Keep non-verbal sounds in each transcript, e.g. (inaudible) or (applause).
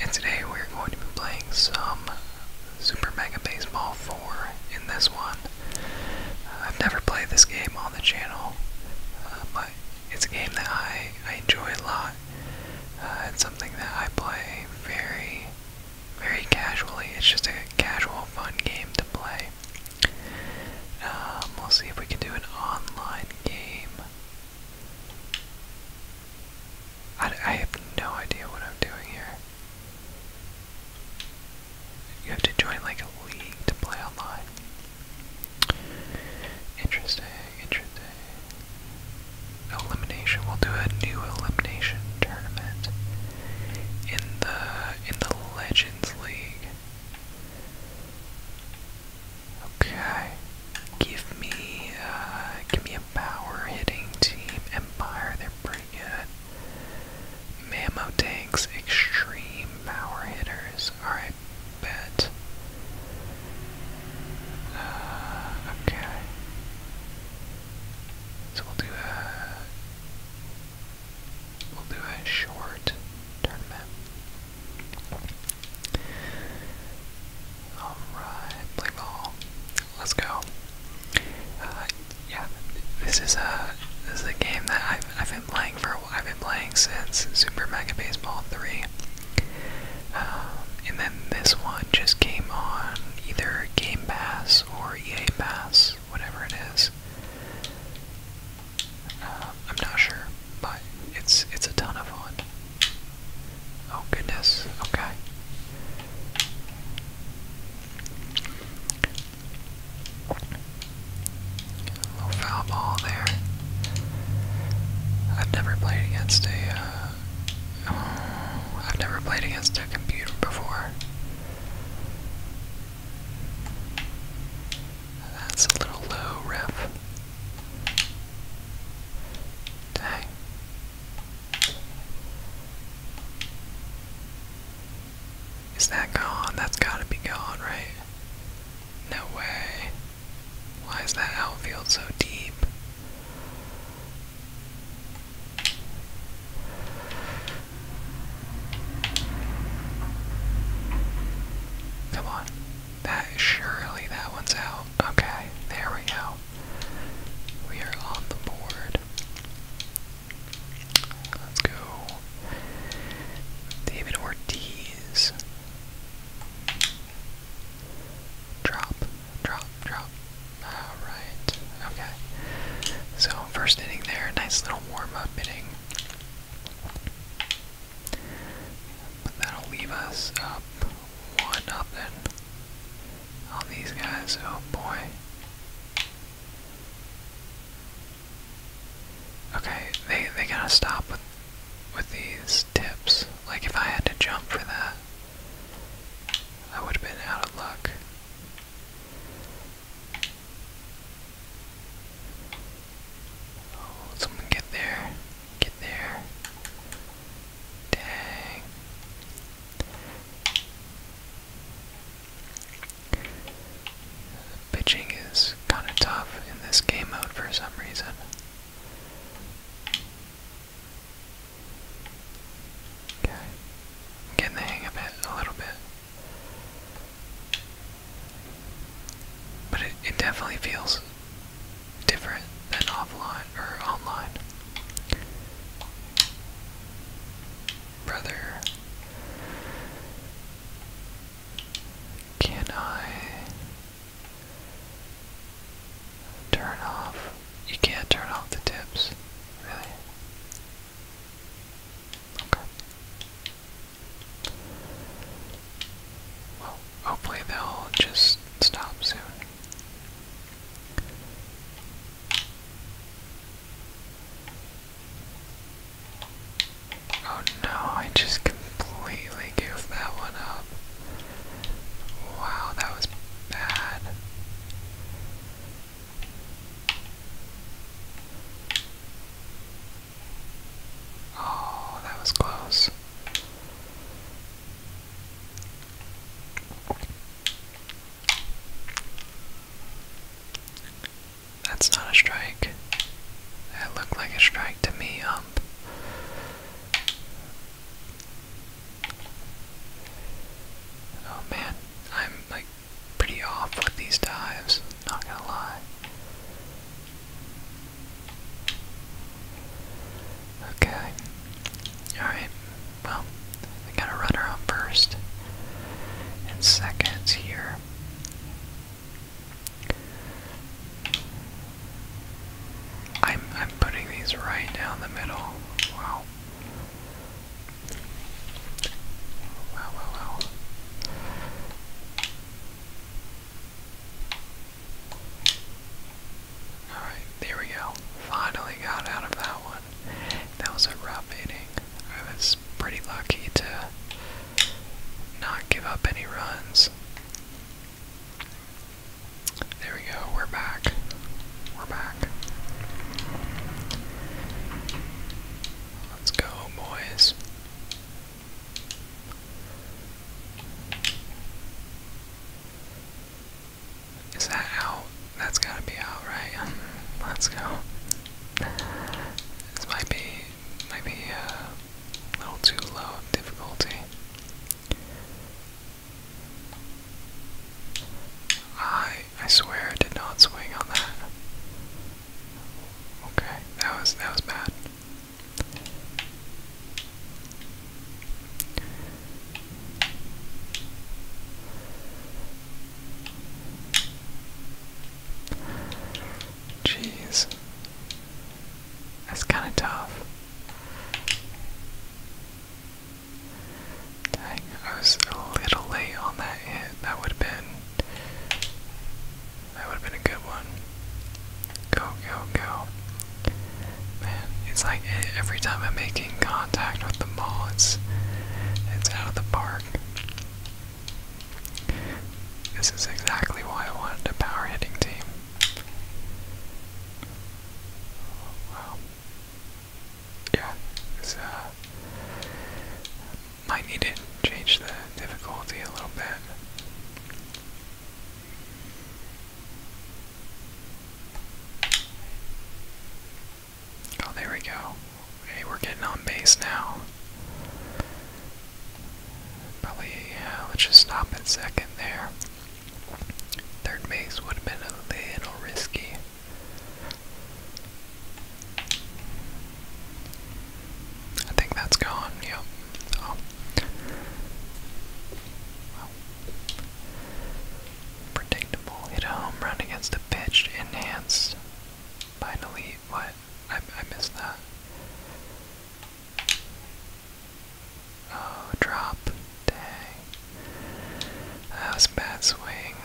And today we're going to be playing some Super Mega Baseball 4 in this one. I've never played this game on the channel, uh, but it's a game that I, I enjoy a lot. Uh, it's something that I play very, very casually. It's just a casual, fun game to play. Um, we'll see if we can do an online game. I, I have no idea what I'm doing here. You have to join like a league to play online. Interesting, interesting. Elimination. We'll do a new elimination tournament in the in the Legends League. Okay. Give me uh give me a power hitting team. Empire, they're pretty good. Mammo tanks, extreme power hitters. Alright, bet. Uh, okay. So we'll do a we'll do a short tournament. Alright, play Let's go. Uh, yeah, this is a this is a game that I've I've been playing for I've been playing since Super Mega Baseball 3. Um, and then this one just came on either Game Pass or EA Pass, whatever it is. Uh, I'm not sure, but it's it's a ton of fun. Oh goodness, okay. A little foul ball there. I've never played against a, have uh, never played against a computer before. That's a little low, ref. Dang. Is that gone? That's gotta be gone, right? No way. Why is that outfield so deep? Come on. That surely that one's out. Okay, there we go. We are on the board. Let's go. David Ortiz. Drop, drop, drop. Alright, okay. So, first inning there, nice little warm up inning. that'll leave us up one nothing on these guys. Oh boy. Okay, they they gotta stop with with these tips. Like if I had to jump for that, I would have been out of luck. Oh, someone get there. Get there. Dang. pitching is kind of tough in this game mode for some reason. Okay. getting the hang of it a little bit. But it, it definitely feels different than offline or online. Brother, can I turn off? You can't turn off the tips, really. Okay. Well, hopefully they'll just stop soon. Oh no, I just completely goofed that one up. Wow, that was bad. Oh, that was close. That's not a strike. That looked like a strike to me, ump. Oh man, I'm like pretty off with these dives, not gonna lie. Okay. Alright. Well, we got a runner on first and seconds here. I'm I'm putting these right down the middle. Wow wow wow. Alright, there we go. Finally got out of that one. That was a rough inning. I was pretty lucky to not give up any runs. There we go, we're back. We're back. Let's go, boys. Is that out? That's gotta be out, right? Um, let's go. This might be, might be uh, a little too low of difficulty. I, I swear did not swing on that. Okay, that was, that was bad. Jeez. That's kind of tough. Dang, I was a little late on that hit. That would have been. That would have been a good one. Go, go, go. Man, it's like every time I'm making contact with the ball, it's it's out of the park. This is exactly why I wanted a power hitting team. Wow. Yeah, this uh, might need to change the difficulty a little bit. Oh, there we go. Hey, we're getting on base now. Probably, let's just stop at second there. Third base would have been a little risky. I think that's gone, yep. Oh. Predictable. Hit a home run against a pitch. Enhanced. Finally, What? I, I missed that. Oh, drop. Dang. That was a bad swing.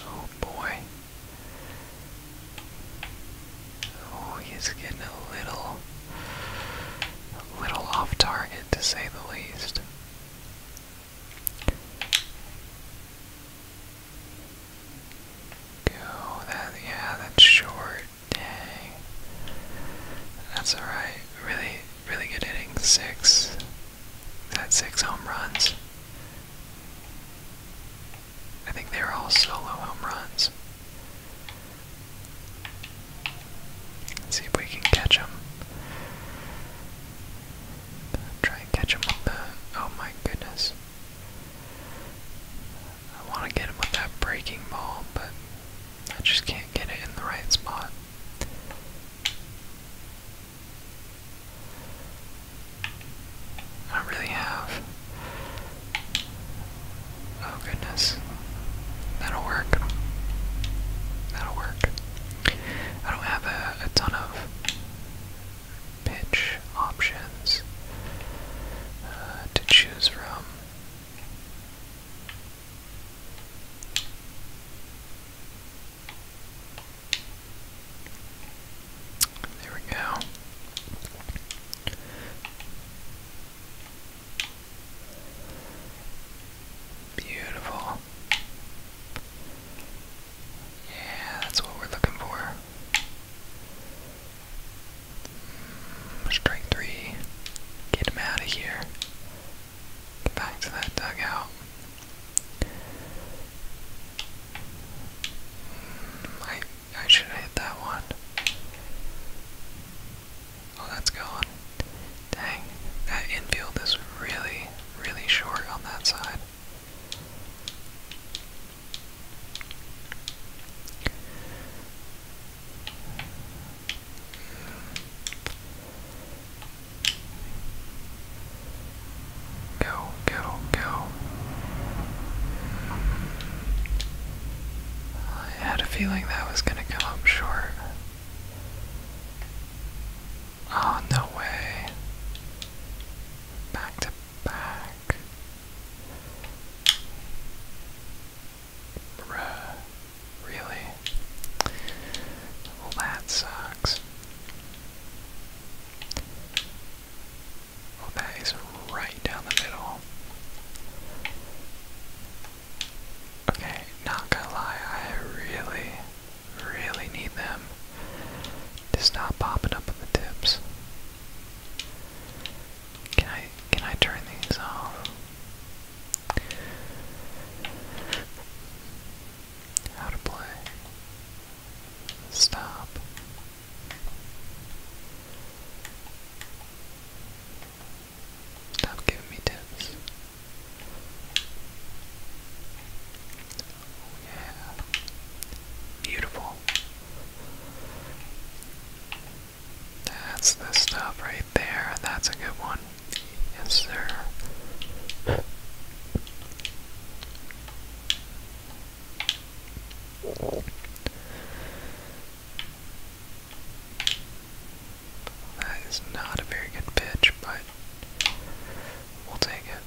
Oh boy. Oh, he's getting a little a little off target to say the least. Go that yeah, that's short. Dang. That's alright. Really, really good hitting. Six. That six home runs. I think they were all solo home runs. Let's see if we can catch him. Try and catch him with the. Oh my goodness. I want to get him with that breaking ball, but I just can't get it in the right spot. I really have Oh goodness. That'll work. That'll work. I don't have a, ton of pitch options uh, to choose from. There we go. Beautiful. Yeah, that's what we're looking for. Mm, strike three. Get him out of here. back to that dugout. Mm, I I should hit that one. Oh, that's gone. Dang, that infield is really, really short on that side. Go, go, go. I had a feeling that was going to come up short. Oh, no way. Back to back. Really? Well, that sucks. Well, that is right down the middle. Okay, not gonna lie, I really, really need them to stop popping up on the tips. Can I can I turn these off? How to play. Stop. Stop giving me tips. Oh yeah. Beautiful. That's the stuff right there. That's a good one. Yes, sir. That is not a very good pitch, but we'll take it.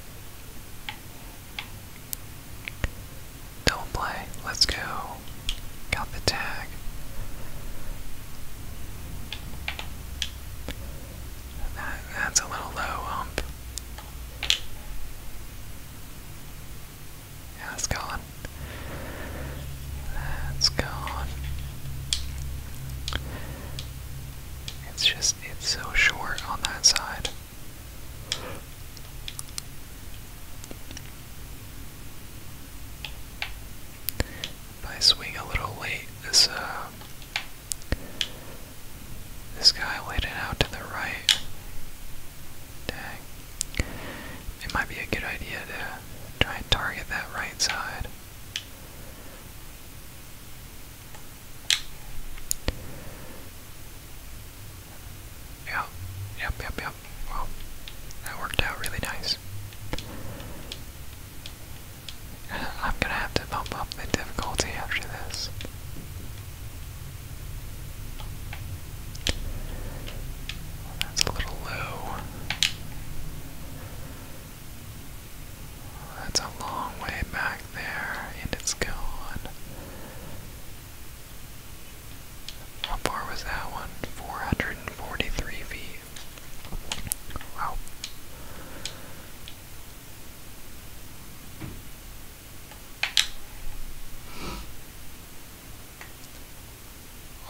Double play. Let's go. Got the tag. that's a little low hump. Yeah, that's gone. That's gone. It's just, it's so short on that side. If I swing a little late, this, uh, this guy laid it out to the right. Dang. It might be a good idea to try and target that right side. Yep, yep, yep, yep. Well, that worked out really nice. (laughs) I'm gonna have to bump up the difficulty after this. that's a little low. That's a long way back there, and it's gone. How far was that one? 443 feet. Wow.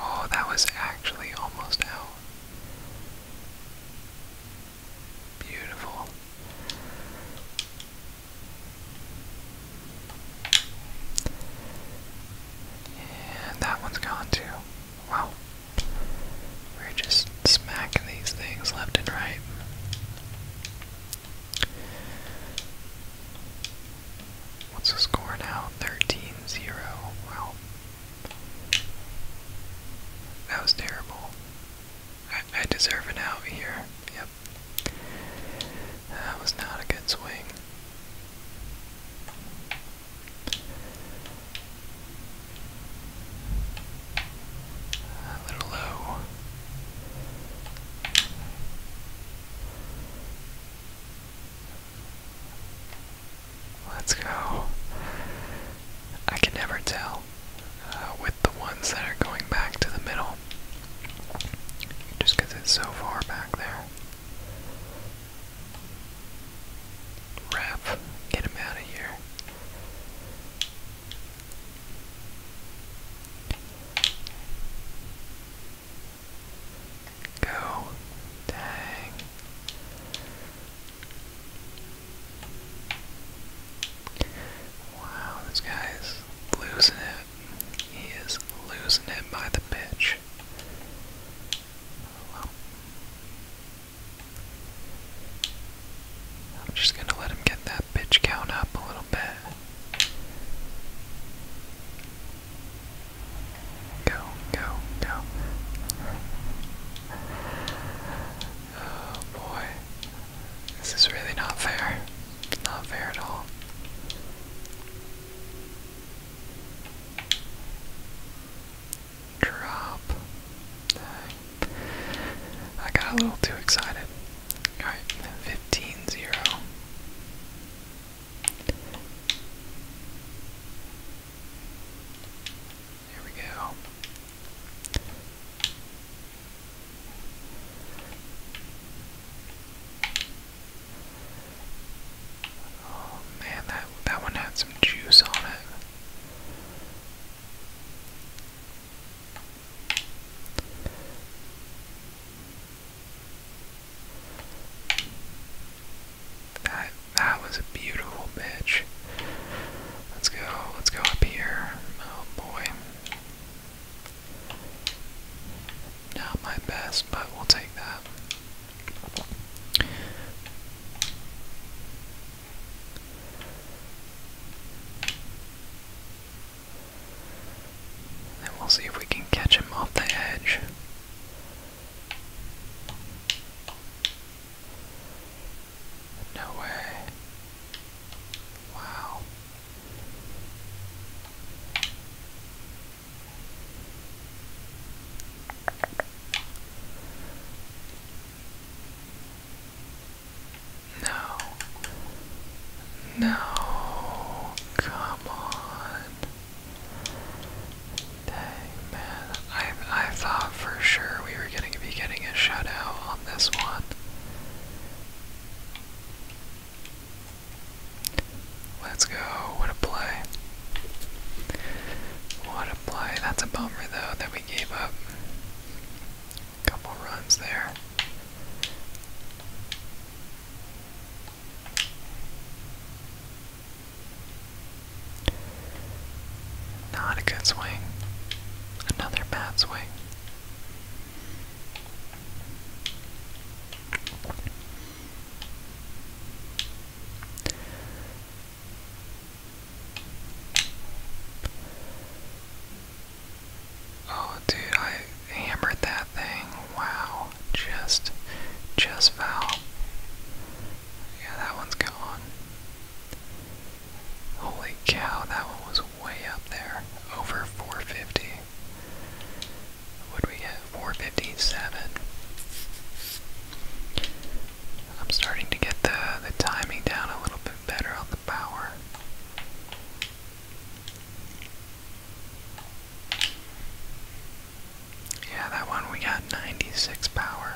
Oh, that was actually almost out. Beautiful. And that one's gone too. Wow. We're just smacking these things left and right. What's the score now? 13-0. Wow. That was terrible. I, I deserve an out here. Yep. That was not a good swing. A little low. Let's go. I can never tell uh, with the ones that are going back to the middle just because it's so far back there. Wrap. Get him out of here. Go. Dang. Wow, this guy is losing it. He is losing it by the bitch. I'm just gonna let him get that pitch count up a little bit. Go, go, go. Oh boy. This is really not fair. Not fair at all. Drop. I got a little too excited. Alright, 15 0. There we go. Oh man, that that one had some juice on it. That that was a beautiful bitch. Let's go. Let's go up here. Oh boy. Not my best, but we'll take that. And we'll see if we can catch him off the edge. No way. Wow. No. No. Come on. Dang man, I I thought for sure we were gonna be getting a shutout on this one. Let's go. What a play. What a play. That's a bummer though that we gave up. A couple runs there. Not a good swing. Another bad swing. Oh, dude, I hammered that thing. Wow. Val. Just, just Val. Yeah, that one's gone. Holy cow, that one was way up there. Over 450. Would we get 457? I'm starting to get the, the timing down a little bit better on the power. Yeah, that one we got 96 power.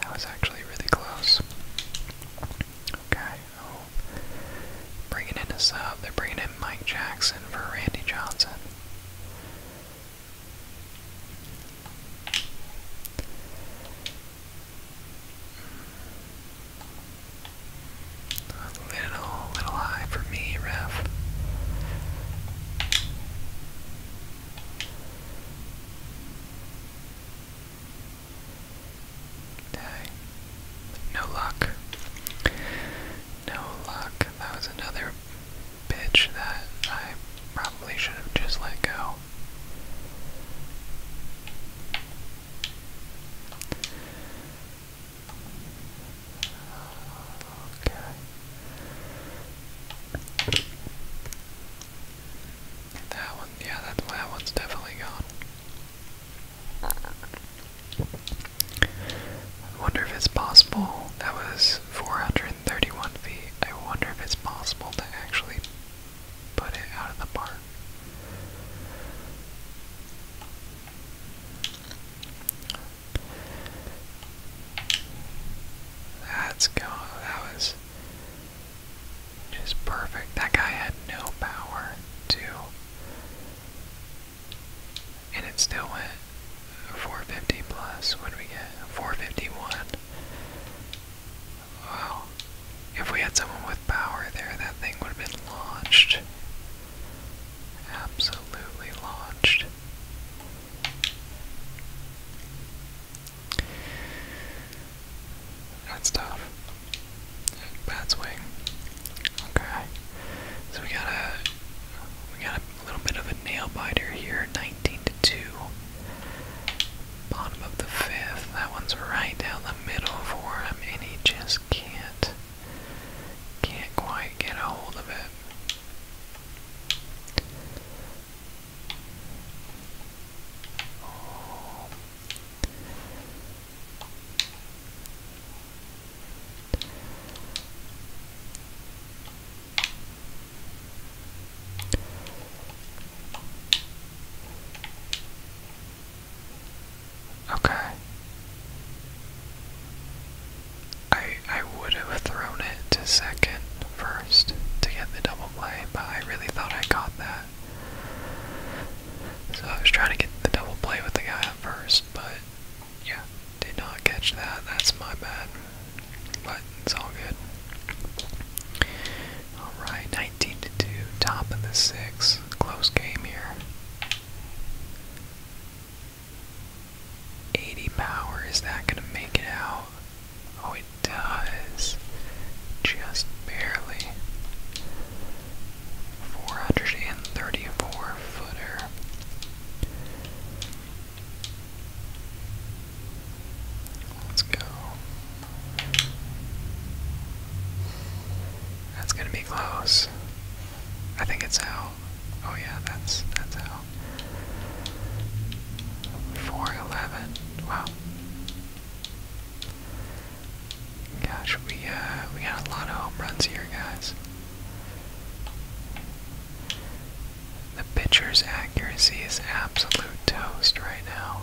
That was actually really close. Okay, oh. Bringing in a sub. They're bringing in Mike Jackson for Randy Johnson. A little, little high for me, ref. Dang. No luck. No luck. That was another bitch that I probably should have just let go. Okay. That one, yeah, that, that one's definitely gone. I wonder if it's possible. That was 431 feet. I wonder if it's possible to actually put it out of the park. That's That was just perfect. That guy had no power, too. And it still went 450 plus. What we get? 451. Wow. If we had someone with power there, that thing would have been launched absolutely launched. That's tough. Bad swing. Okay. So we got a we got a little bit of a nail biter here, 19 to 2. Bottom of the fifth. That one's right down the middle for him, and he just can't can't quite get a hold of it. Okay. I I would have thrown it to second first to get the double play, but I really thought I caught that. So I was trying to get the double play with the guy at first, but yeah, did not catch that. That's my bad. But it's all good. Alright, 19 to 2, top of the six. Close game here. 80 power, is that going to make it out? Oh, it does. Just barely. 434 footer. Let's go. That's going to be close. I think it's out. Oh yeah, that's that's out. Four eleven. Wow. Gosh, we uh we got a lot of home runs here, guys. The pitcher's accuracy is absolute toast right now.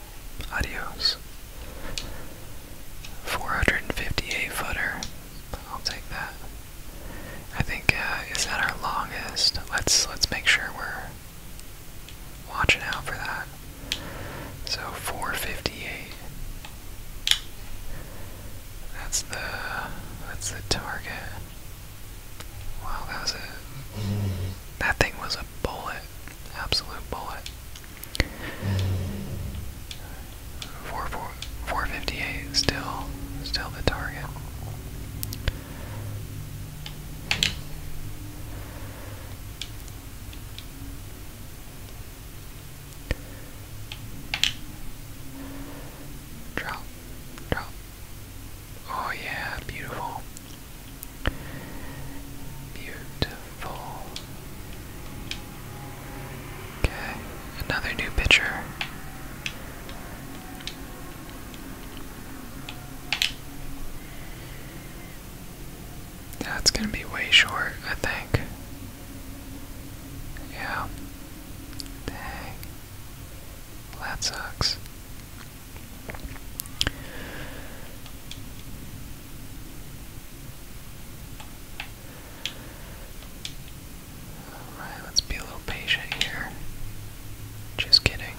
Adios. 458 footer. I'll take that. I think uh, is that our longest. Let's let's make sure we're watching out for that. So 458. That's the that's the target. Wow, that was it. that thing was a bullet, absolute bullet. Four, 458 still still the target. Drop, drop. Oh yeah, beautiful. Beautiful. Okay, another new picture. That's gonna be way short, I think. Yeah. Dang. that sucks. Alright, let's be a little patient here. Just kidding.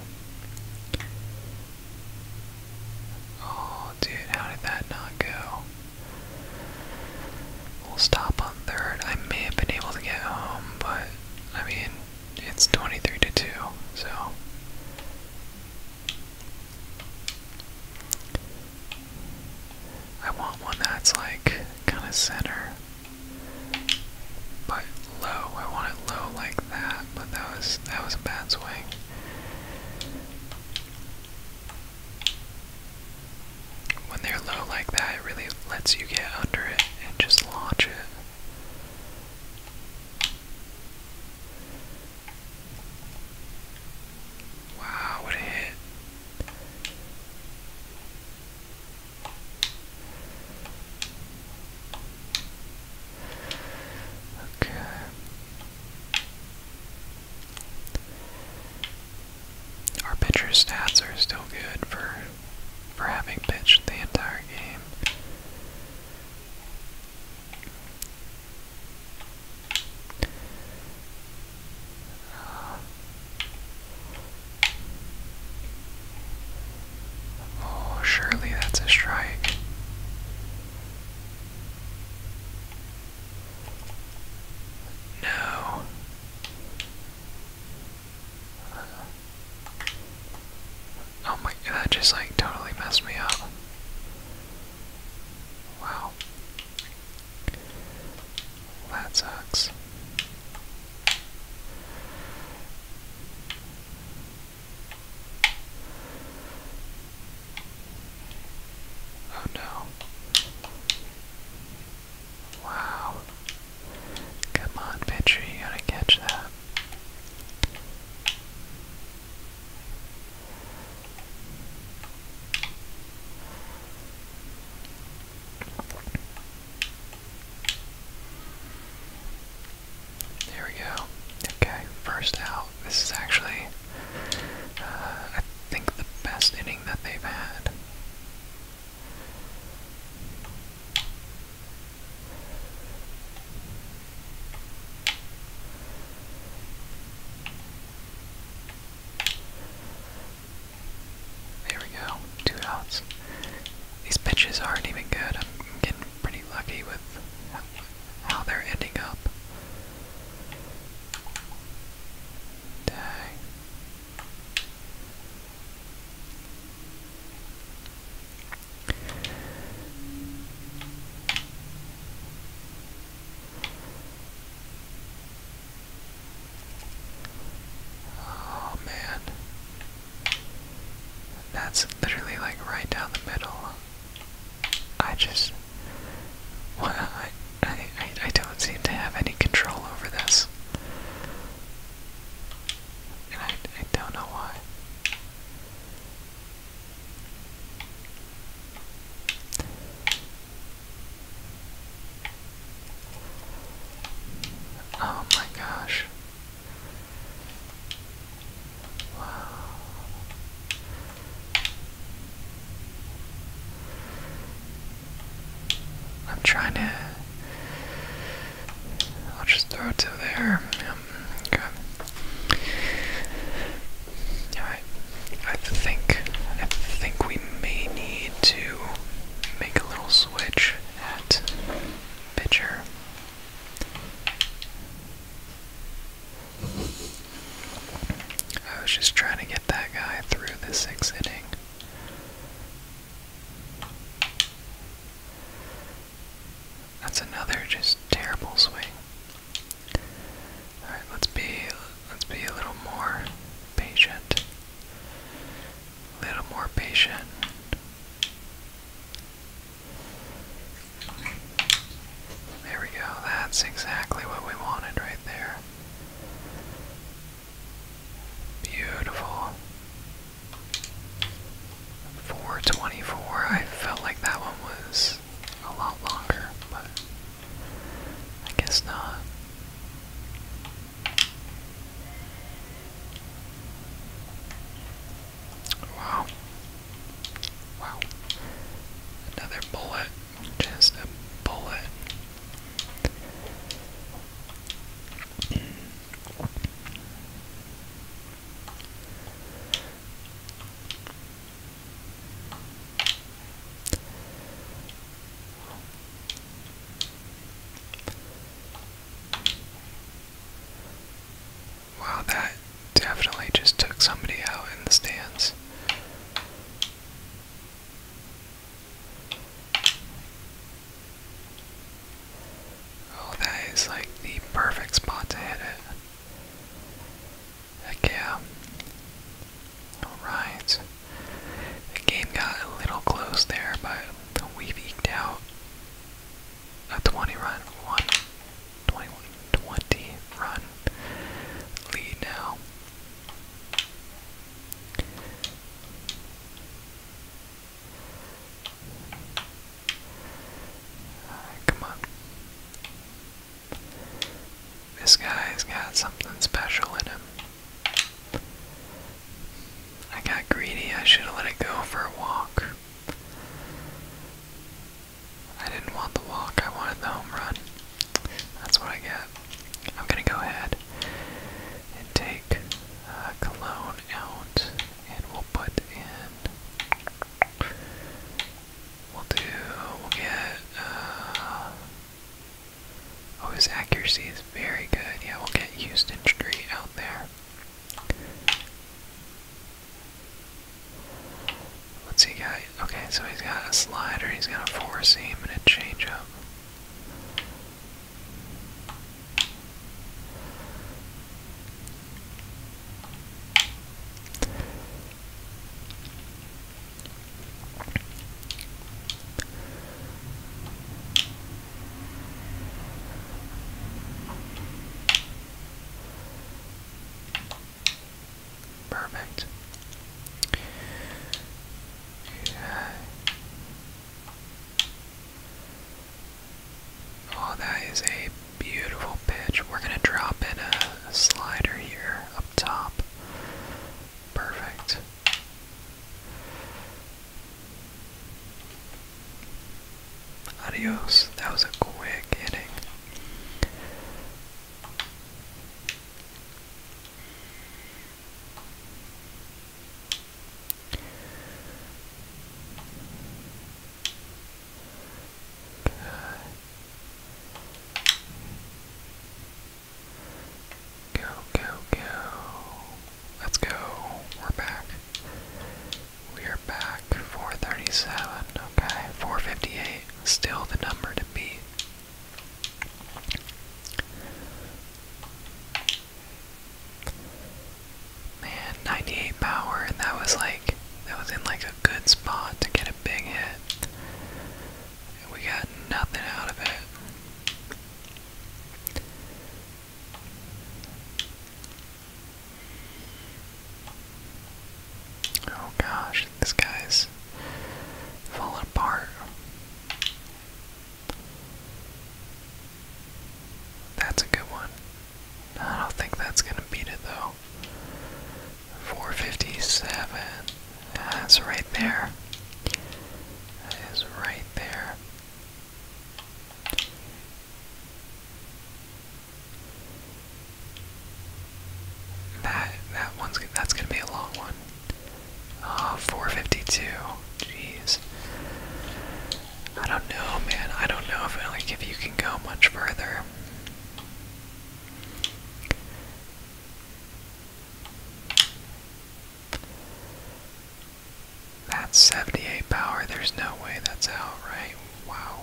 Oh, dude, how did that not go? We'll stop on third. I may have been able to get home, but I mean, it's 23 to 2, so I want one that's like kind of center, but low. I want it low like that, but that was that was a bad swing. When they're low like that, it really lets you get under it and just launch it. Wow, what a hit. Okay. Our pitcher's stats are still good for for having pitched the entire game. Oh, surely that's a strike. No. Oh my, that just like totally messed me up. Wow. That sucks. Oh no. Wow. Come on, pitcher, you gotta catch that. There we go. Okay, first out. This is actually, uh, I think, the best inning that they've had. There we go. Two outs. These pitches aren't even good. I'm getting pretty lucky with how they're ending up. Dang. Oh man. That's literally like right down the middle. I just well, I, I I don't seem to have any control over this. And I I don't know why. Oh my gosh. Wow. I'm trying to. I'll just throw it to there. Yep. Alright. I think I think we may need to make a little switch at pitcher. I was just trying to get that guy through the six inning. That's another just terrible swing. All right, let's be let's be a little more patient. little more patient. There we go. That's exactly what we wanted right there. Beautiful. 424. I felt like that one was a lot longer, but I guess not. Wow. Wow. Another bullet. Just a bullet. Wow, that definitely just took somebody out in the stands. Oh, that is like the perfect spot to hit it. Heck yeah. Um, alright. The game got a little close there, but we've eked out a 20 run, one, 20, 20 run lead now. Alright, come on. This guy's got something special in him. I got greedy, I should have let it go for a walk. I didn't want the walk, I wanted the home run. That's what I get. I'm gonna go ahead and take uh, Cologne out, and we'll put in We'll do, we'll get, uh, oh, his accuracy is very good. Yeah, we'll get Houston Street out there. What's he got? Okay, so he's got a slider, he's got a four seam, and a changeup. Perfect. Oh, that is a beautiful pitch. We're gonna drop in a slider here up top. Perfect. Adios. That was a quick hitting. Go, go, go. Let's go. We're back. We are back. 437. Okay. 458. Still the number to beat. Man, 98 power, and that was like, that was in like a good spot to get a big hit we got nothing out of it. Oh gosh, this guy's falling apart. That's a good one. I don't think that's gonna beat it though. 457. That's right there. That is right there. That that one's that's gonna be a long one. Uh, 452. Geez. I don't know, man. I don't know if like if you can go much further. That's 78 power. There's no way that's out, right? Wow.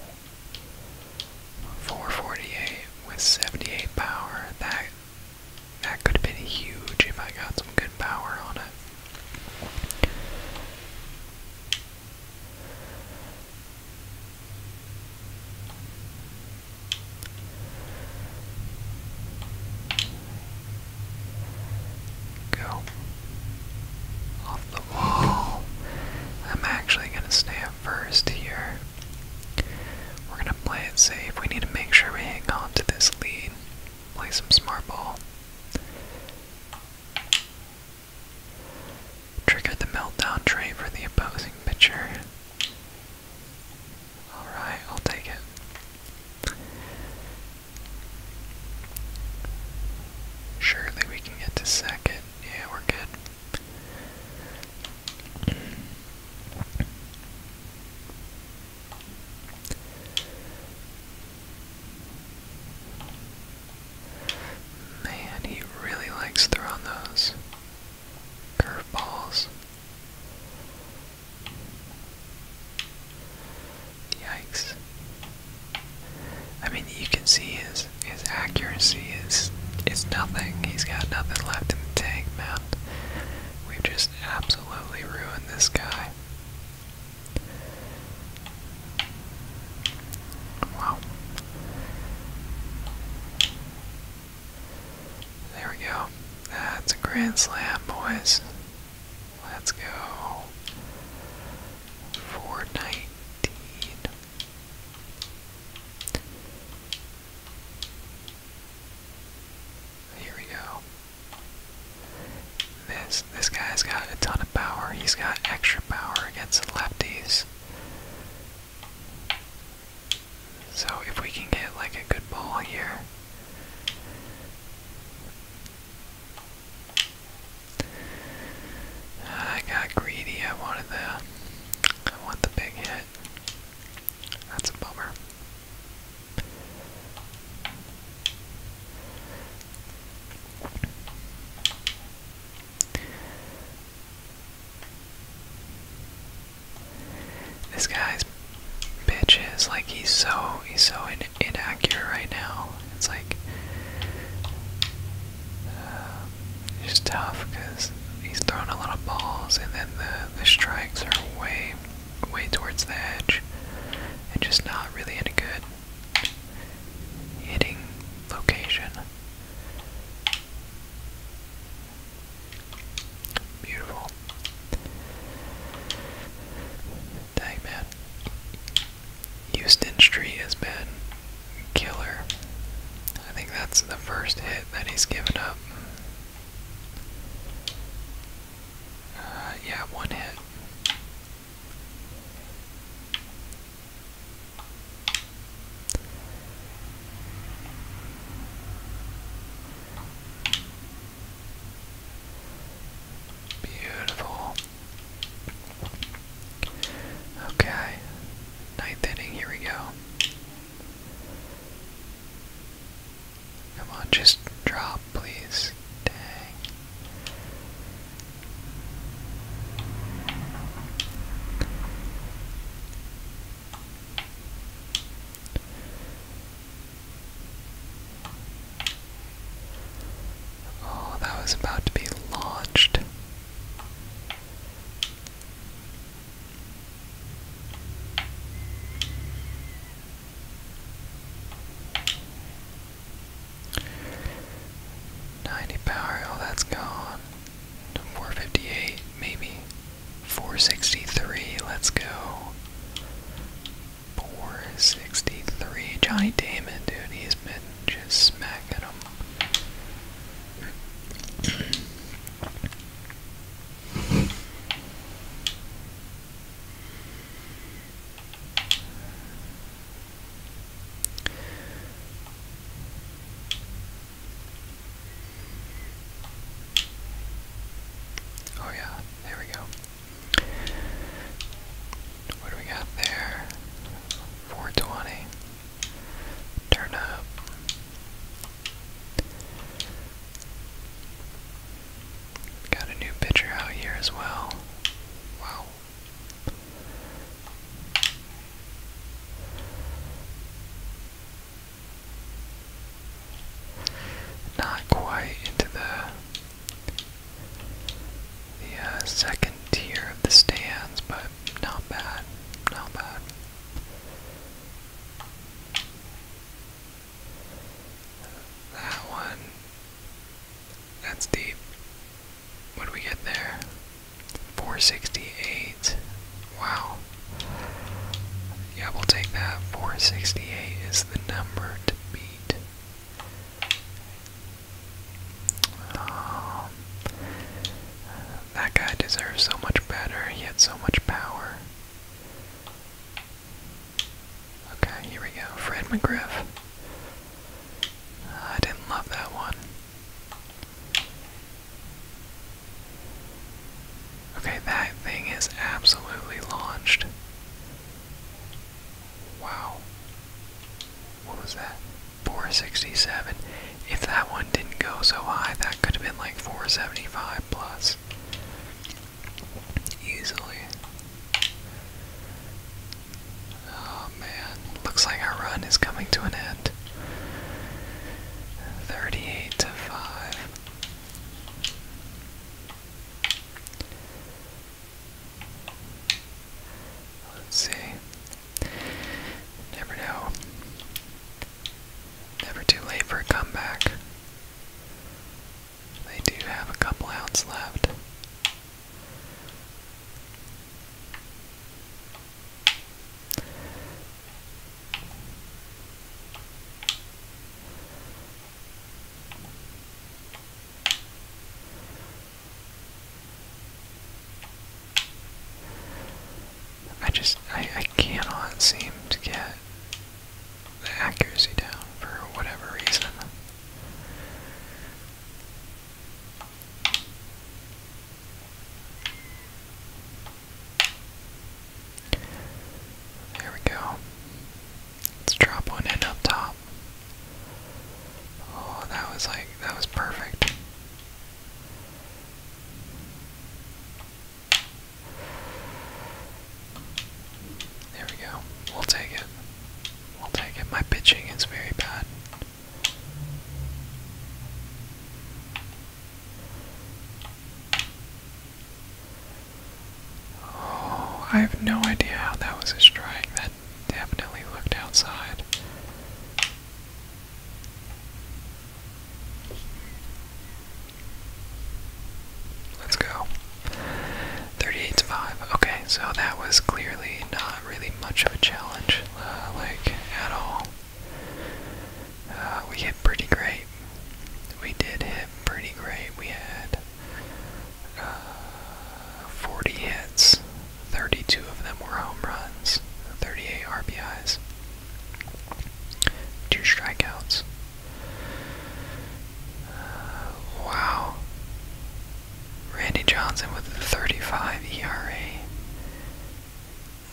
448 with 78 power. That that could have been huge if I got some good power on it. Go. Off the wall. I'm actually going to stay up first here. We're going to play it safe. We need to make sure we hang on to this lead. Play some smart ball. Trigger the meltdown tray for the opposing pitcher. Alright, I'll take it. Surely we can get to second. Yeah, we're good. Man, he really likes throwing those. Curveballs. Yikes. I mean, you can see his his accuracy is is nothing. He's got nothing left in the tank, man. We've just absolutely ruined this guy. Wow. There we go. That's a grand slam, boys. Let's go. 419. Here we go. This this guy's got a ton of power. He's got extra power against the lefties. So if we can get like a good ball here. I got greedy. I wanted the I want the big hit. That's a bummer. This guy's bitches like he's so he's so inaccurate right now. It's like uh, just tough because he's throwing a lot of balls and then the the strikes are way way towards the edge and just not really any good hitting location. Beautiful. Dang, man. Houston Street has been killer. I think that's the first hit that he's given up. Uh, yeah, one hit. Beautiful. Okay, ninth inning, here we go. Come on, just drop, please. Dang. Oh, that was about to be launched. Ninety power, oh that's gone. Four fifty eight, maybe. 463, let's go. 463. Johnny Damon, dude, he's been just smacking him. Oh, yeah, there we go. What do we got there? 420. Turn up. Got a new pitcher out here as well. Wow. Not quite into the the uh, second tier of the stands, but not bad, not bad. That one, that's deep. What do we get there? 468. Wow. Yeah, we'll take that. 468 is the number to beat. Um, that guy deserves so much better. He had so much power. Okay, here we go. Fred McGriff. I didn't love that one. Okay, that thing is absolutely launched. Wow. What was that? 467. If that one didn't go so high, that could have been like 475 plus. Easily. Oh man, looks like our run is coming to an end. Thirty eight to five. Let's see. Never know. Never too late for a comeback. They do have a couple outs left. I just, I, I cannot seem to get the accuracy down for whatever reason. There we go. Let's drop one in up top. Oh, that was like, that was perfect. There we go. We'll take it. We'll take it. My pitching is very bad. Oh, I have no idea how that was a strike. That definitely looked outside. Let's go. 38 to 5. Okay, so that was clearly not really much of a challenge, uh, like, at all. Uh, we hit pretty great. We did hit pretty great. We had uh, 40 hits, 32 of them were home runs, 38 RBIs, two strikeouts. Uh, wow. Randy Johnson with a 35 ERA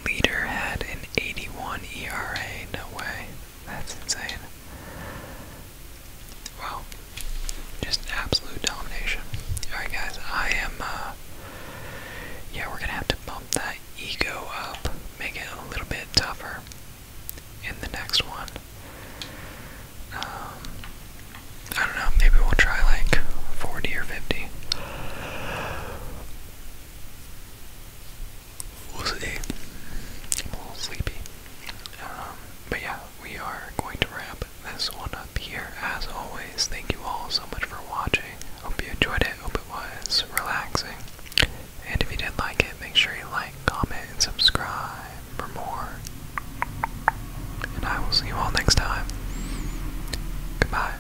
leader had an 81 ERA. No way. That's insane. Wow. Just absolute domination. Alright, guys, I am, uh, yeah, we're gonna have to bump that ego up, make it a little bit tougher in the next one. Um, I don't know, maybe we'll try like 40 or 50 we'll see. I'm a little sleepy. but yeah, we are going to wrap this one up here. As always, thank you all so much for watching. Hope you enjoyed it. Hope it was relaxing. And if you did like it, make sure you like, comment, and subscribe for more. And I will see you all next time. Goodbye.